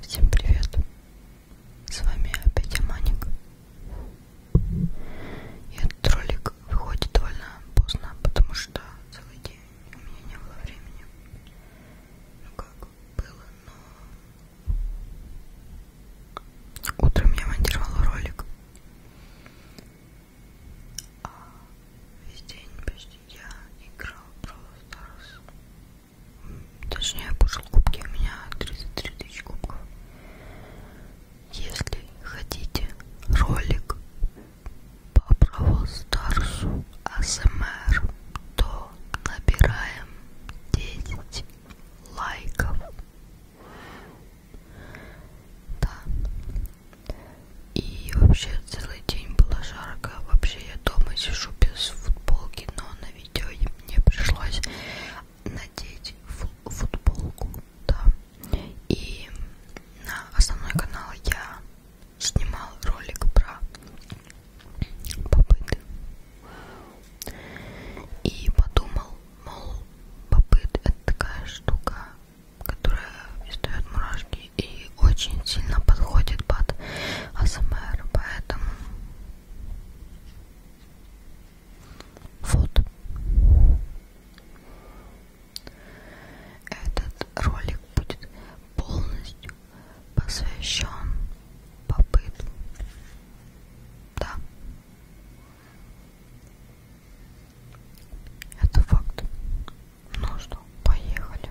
Всем привет! С вами опять Аманик. И этот ролик выходит довольно поздно, потому что целый день у меня не было времени. Ну как было, но утром я монтировала ролик. А весь день почти я играл Brawl Stars. Точнее, я пошел кубки, у меня 33 тысячи кубков. Если хотите ролик по Brawl Stars ASMR, то набираем 10 лайков. Да, и вообще целый день было жарко. Вообще я дома сижу без футболки, но на видео мне пришлось надеть футболку, да. И на основной канал я снимал ролик про попыты. И подумал, мол, попыт это такая штука которая издает мурашки и очень сильно подходит под АСМР, поэтому вот этот ролик будет полностью посвящен попытке. Да. Это факт. Ну что, поехали.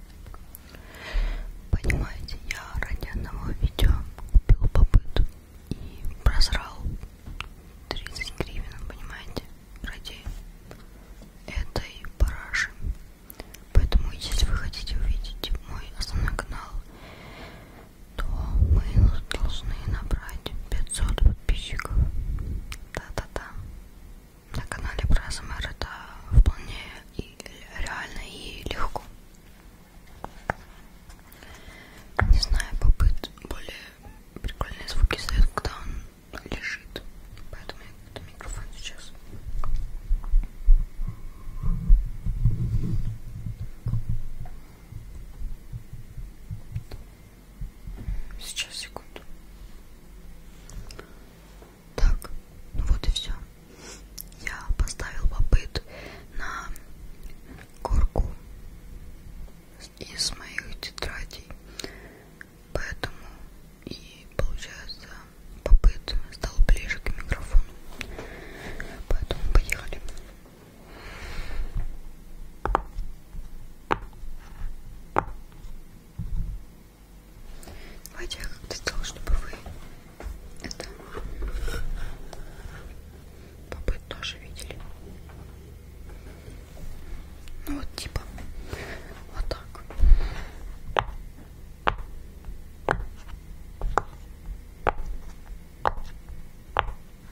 Понимаете, я ради одного видео купил попыт и просрал 30 гривен, понимаете, ради этой параши. Поэтому, если вы хотите увидеть мой основной канал, то мы должны набрать 500 подписчиков. Да-да-да на канале про АСМР это вполне и реально и легко. Не знаю, попыт более прикольные звуки издает, когда он лежит. Поэтому я буду микрофон сейчас. Сейчас, секунду. Так, ну вот и все. Я поставил попыт на горку из моих тетрадей. Поэтому и получается попыт стал ближе к микрофону. Поэтому поехали. Давайте я как-то сделала, чтобы вы это побыть тоже видели. Ну вот типа вот так.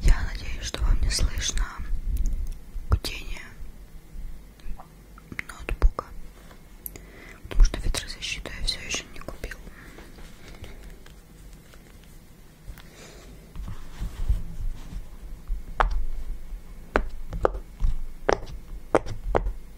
Я надеюсь, что вам не слышно гудение ноутбука, потому что ветрозащиту я все еще не купила.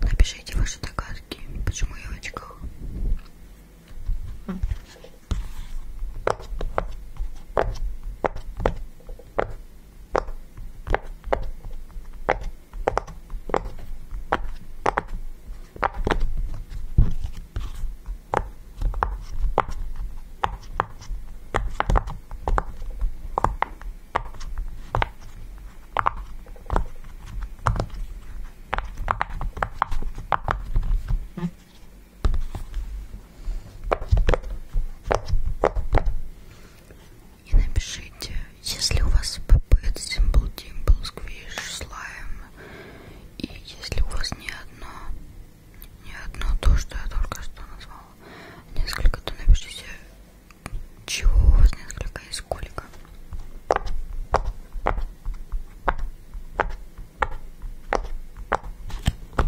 Напишите ваши догадки, почему я в очках. И напишите, если у вас пп символ, димбл, сквиш, слайм, и если у вас не одно, не одно то, что я только что назвала. Несколько, то напишите, чего у вас несколько и сколько. Итак,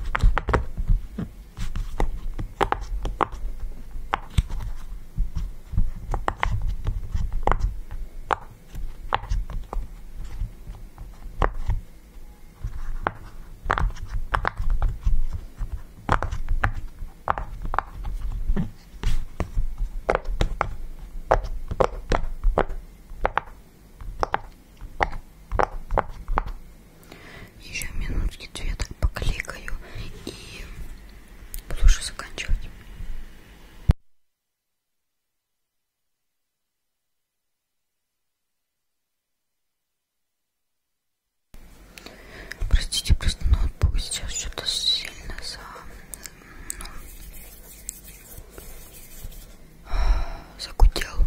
еще минутки две так покликаю и буду уже заканчивать. Простите, просто ноутбук сейчас что-то сильно за... Ну, загудел.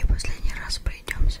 И последний раз пройдемся.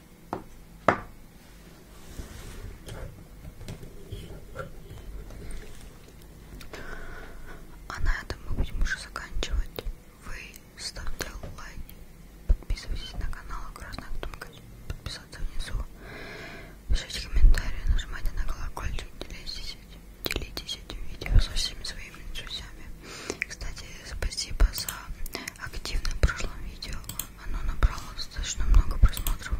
А на этом мы будем уже заканчивать. Вы ставьте лайк, подписывайтесь на канал Красная Тумка, подписаться внизу, пишите комментарии, нажимайте на колокольчик, делитесь, делитесь этим видео со всеми своими друзьями. Кстати, спасибо за активное в прошлом видео оно набрало достаточно много просмотров.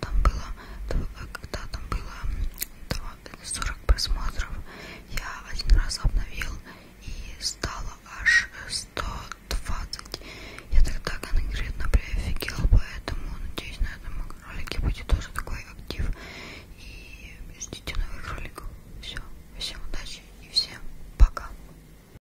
Там было, э, когда там было 40 э, просмотров, я один раз обновил и стало аж 120. Э, я тогда конкретно приофигел, поэтому надеюсь на этом ролике будет тоже такой актив. И ждите новых роликов. Все, всем удачи и всем пока.